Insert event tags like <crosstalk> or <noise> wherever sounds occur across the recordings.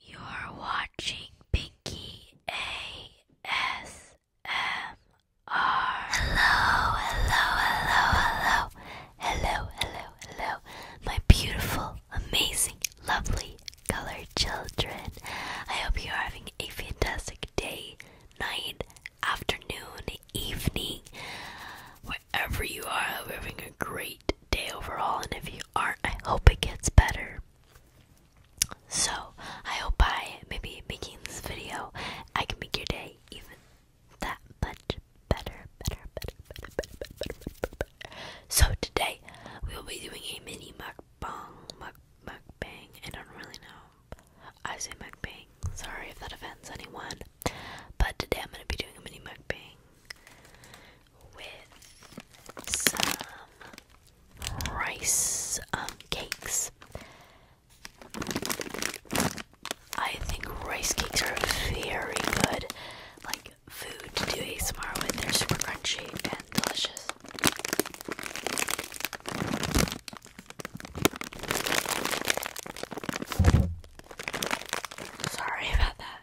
You're watching Pinky ASMR. Hello, hello, hello, hello, hello, hello, hello, my beautiful, amazing, lovely colored children. I hope you're having a fantastic day, night, afternoon, evening, wherever you are. Having a great great day overall, and if you aren't, I hope it gets better. So, I hope by maybe making this video, I can make your day even that much better, better, better, better, better, better, better, better, better. So today, we will be doing a mini mukbang, muk, mukbang, I don't really know. I say mukbang, sorry if that offends anyone. But today I'm going to be doing a mini mukbang with some rice um, cakes. I think rice cakes are very good, like food to do a ASMR with. They're super crunchy and delicious. Sorry about that.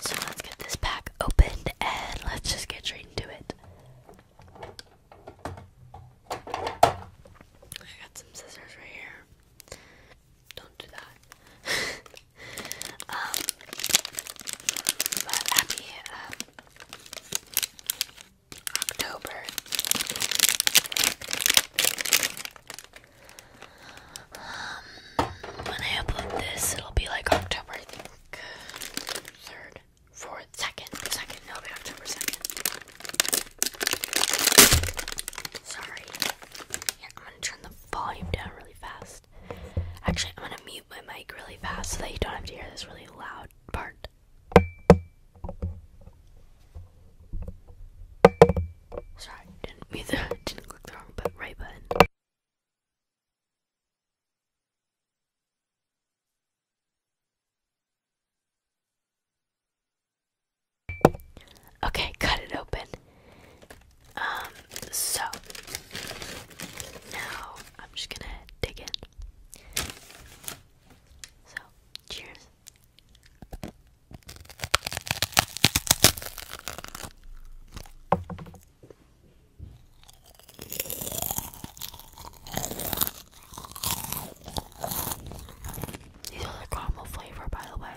So let's get this pack opened and let's just get straight into it. I got some scissors right here. Don't do that. happy <laughs> um, uh, October. Um, when I upload this, it'll be like October third, fourth, second, second, no, but October 2nd. Sorry. I'm gonna turn the volume down really fast. Actually, I'm gonna mute my mic really fast so that you don't have to hear this really loud part. Sorry, didn't mute the, <laughs> didn't click the wrong but right button. Okay, cut it open. Um, so now I'm just gonna dig in. So, cheers. These are the caramel flavor, by the way.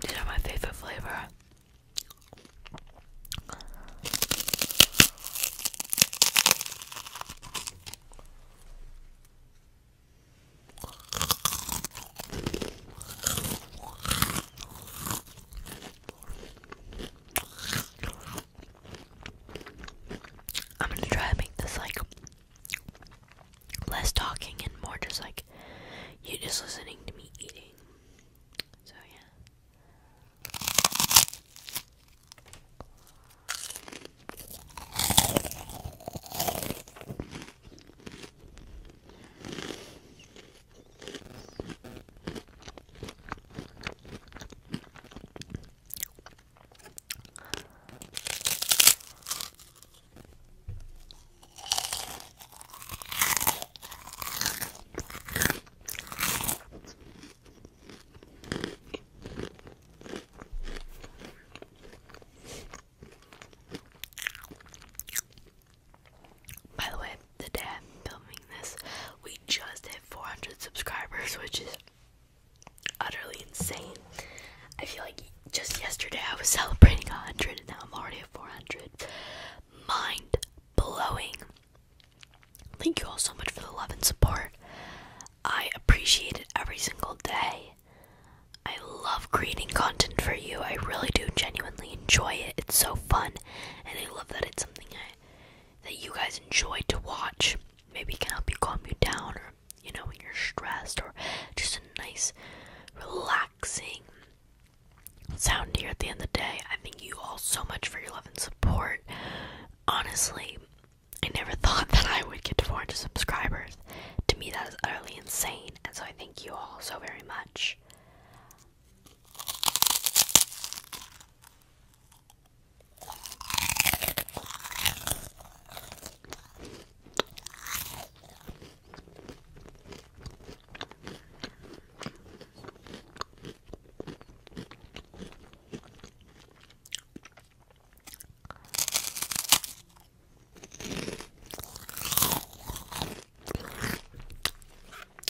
These my favorite flavor. I'm gonna try to make this like less talking and more just like you just listening to me eating. So yeah. By the way, the day I'm filming this, we just hit 400 subscribers, <laughs> which is utterly insane. I feel like just yesterday I was celebrating 100 and now I'm already at 400. Mind blowing. Thank you all so much for the love and support. I appreciate it every single day. I love creating content for you. I really do genuinely enjoy it. It's so fun and I love that it's something that you guys enjoy to watch. Maybe it can help you calm you down you know, when you're stressed, or just a nice, relaxing sound here at the end of the day. I thank you all so much for your love and support. Honestly, I never <laughs> thought that I would get 400 subscribers. To me, that is utterly insane, and so I thank you all so very much.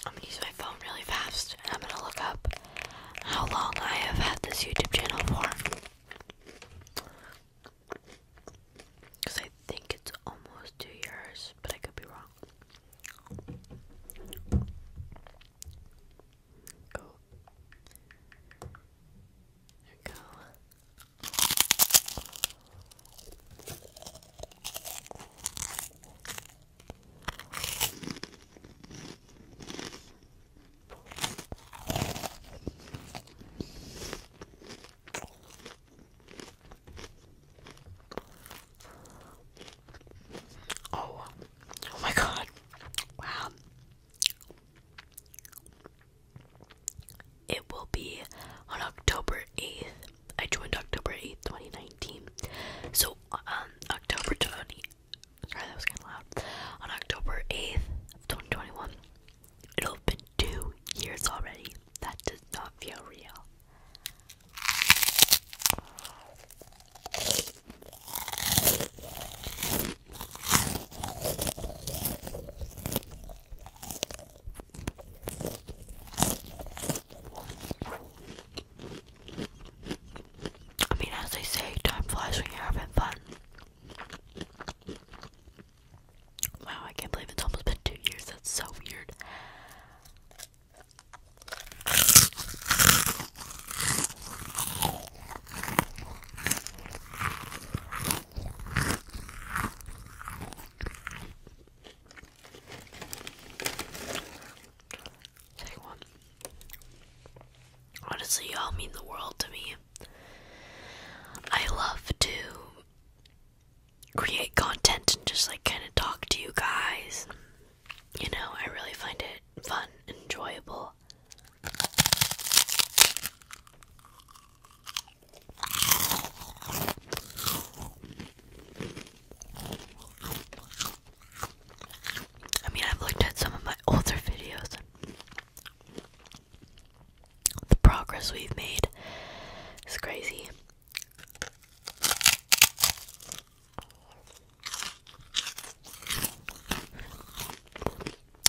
I'm gonna use my phone really fast I'm gonna look up how long I have had this YouTube channel for. Because I think it's almost two years, but I could be wrong. Go. go. Oh, oh my God! Wow, it will be on October eighth. I joined October eighth, twenty nineteen. So, um, October twenty. Sorry, that was kind of loud. On October eighth, twenty twenty one, It'll have been two years already. That does not feel real. I mean, as they say, time flies when you're having fun. Wow, I can't believe it's almost been two years. That's so weird. Honestly, y'all mean the world to me. I love to create content and just like kind of talk to you guys. You know, I really find it fun and enjoyable. I mean, I've looked at some of my older videos the progress we've made is crazy.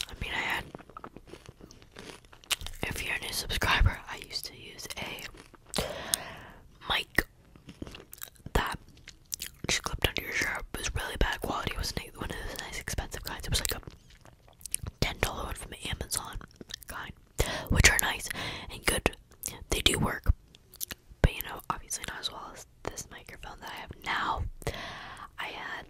I mean, I had. If you're a new subscriber, I used to use a mic that just clipped under your shirt. It was really bad quality, wasn't one of those nice expensive kinds. It was like a ten dollar one from Amazon kind, which are nice and good. They do work, but you know, obviously not as well as this microphone that I have now. I had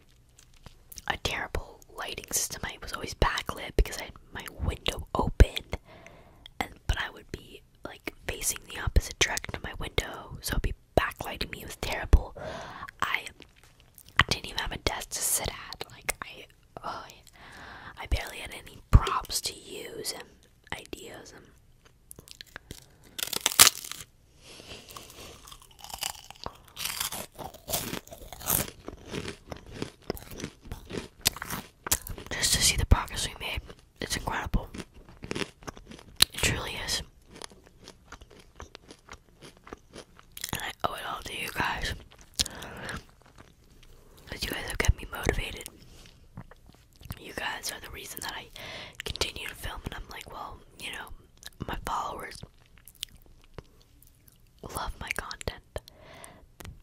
a terrible lighting system. I was always backlit because I had my window open, and but I would be like facing the opposite direction of my window, so it'd be backlighting me was terrible. I didn't even have a desk to sit at. Like I, oh, I barely had any props to use and ideas and. Just to see the progress we made, it's incredible. It truly is. And I owe it all to you guys. Because you guys have kept me motivated. You guys are the reason that I continue to film, and I'm like, well, you know, my followers love my content.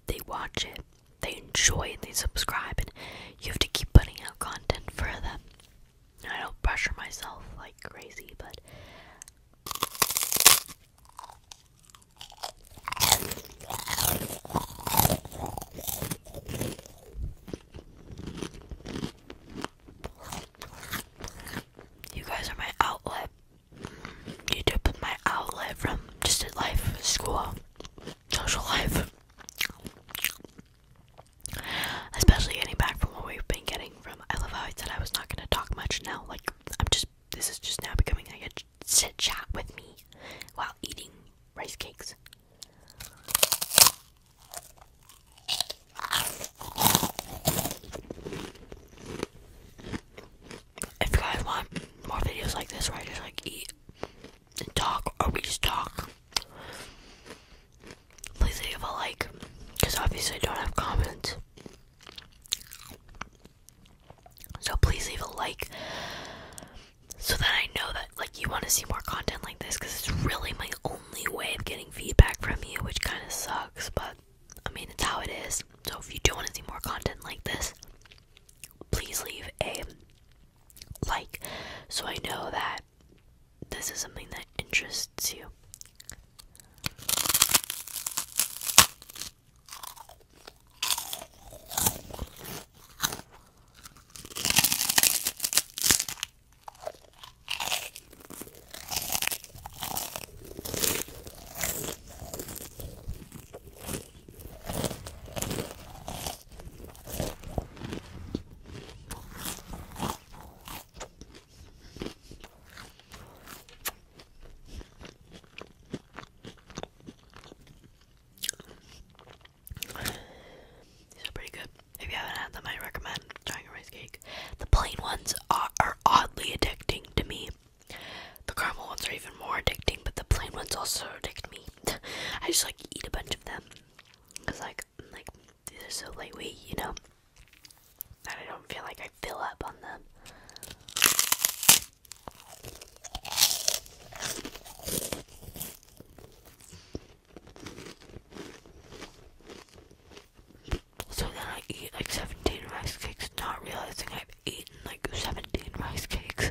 They watch it, they enjoy it, they subscribe, and you have to keep putting out content for them. I don't pressure myself like crazy, but you guys are my outlet. YouTube is my outlet from just life, school, social life. Especially getting back from what we've been getting from. I love how I said I was not gonna talk much now. Like I'm just. This is just now becoming a sit chat with me while eating rice cakes. If you guys want more videos like this where I just like eat talk or we just talk, Please leave a like, because obviously I don't have comments. So please leave a like so that I know that like you want to see more content like this because it's really my only way of getting feedback from you, which kind of sucks, but I mean it's how it is. So if you do want to see more content like this, please leave a like so I know that this is something that interests you. These are pretty good. If you haven't had them, I recommend trying a rice cake. The plain ones are, oddly addicting to me. The caramel ones are even more addicting, but the plain ones also addict me. <laughs> I just like eat a bunch of them because like like these are so lightweight, you know, that I don't feel like I fill up on them. So then I eat like 17 rice cakes, not realizing I've eaten like 17 rice cakes.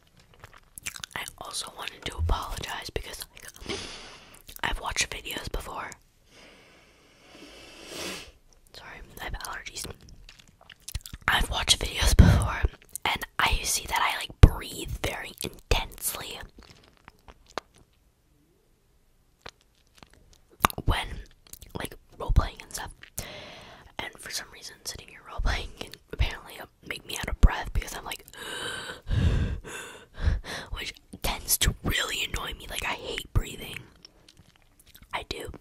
I also wanted to apologize because I've watched videos before. Sorry, I have allergies. I've watched videos before and I see that I like breathe very intensely when like role playing and stuff. And for some reason, sitting here role playing and apparently make me out of breath because I'm like, <gasps> which tends to really annoy me. Like I hate breathing. I do.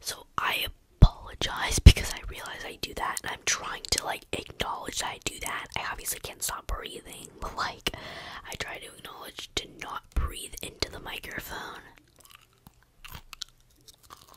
So I apologize because I realize I do that, and I'm trying to like acknowledge that I do that. I obviously can't stop breathing, but like I try to acknowledge to not breathe into the microphone.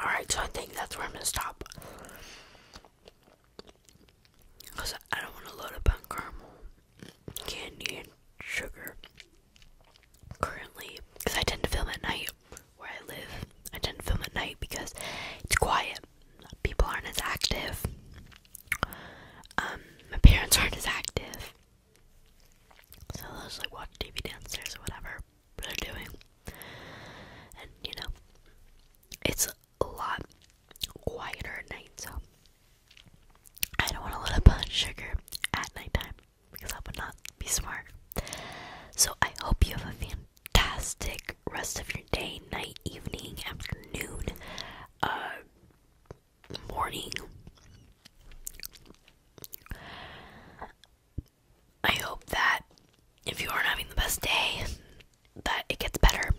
Alright, so I think that's where I'm gonna stop. Because I don't want to load up on caramel, candy, and sugar currently. Because I tend to film at night where I live. I tend to film at night because it's quiet. People aren't as active. Um, my parents aren't as active. So they just like watch TV downstairs or whatever they're doing. And you know, it's a lot quieter at night, so I don't want to let up on sugar at nighttime because that would not be smart. So I hope you have a fantastic rest of your day, night, evening, afternoon. Uh, morning. I hope that if you aren't having the best day, that it gets better.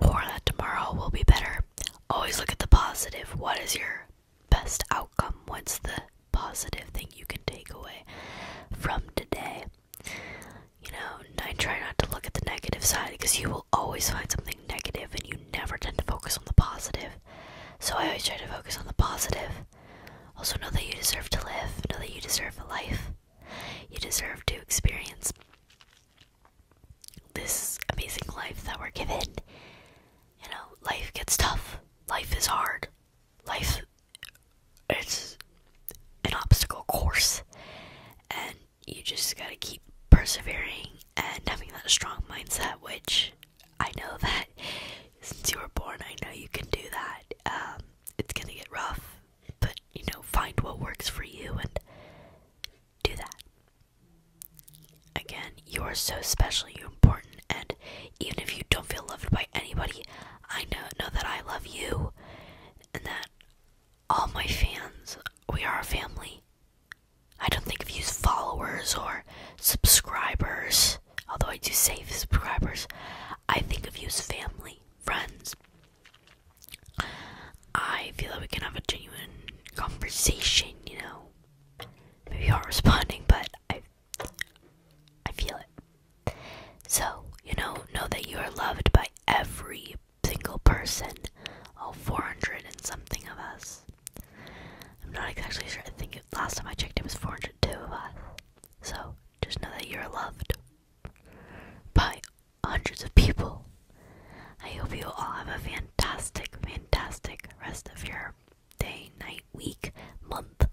Or that tomorrow will be better. Always look at the positive. What is your best outcome? What's the positive thing you can take away from today? You know, I try not to look at the negative side because you will always find something negative and you never tend to focus on the positive. So I always try to focus on the positive. Also, know that you deserve to live, know that you deserve a life, you deserve to experience this amazing life that we're given. You know, life gets tough, life is hard, life it's an obstacle course, and you just gotta keep persevering and having that strong mindset, which I know that since you were born, I know you can do that. Um, it's gonna get rough, but you know, find what works for you and do that. Again, you are so special, you're important, and even if you don't feel loved by anybody, I know know that I love you, and that all my fans, we are a family, I don't think i you used followers or subscribers, although I do say subscribers. I think of used family, friends. I feel that we can have a genuine conversation, you know. Maybe you aren't responding, but I I feel it. So, you know, know that you are loved by every single person, all 400 and something of us. I'm not exactly sure. I think last time I checked, it was 402 of us. So just know that you're loved by hundreds of people. I hope you all have a fantastic, fantastic rest of your day, night, week, month.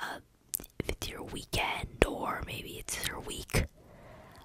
Uh, if it's your weekend or maybe it's your week,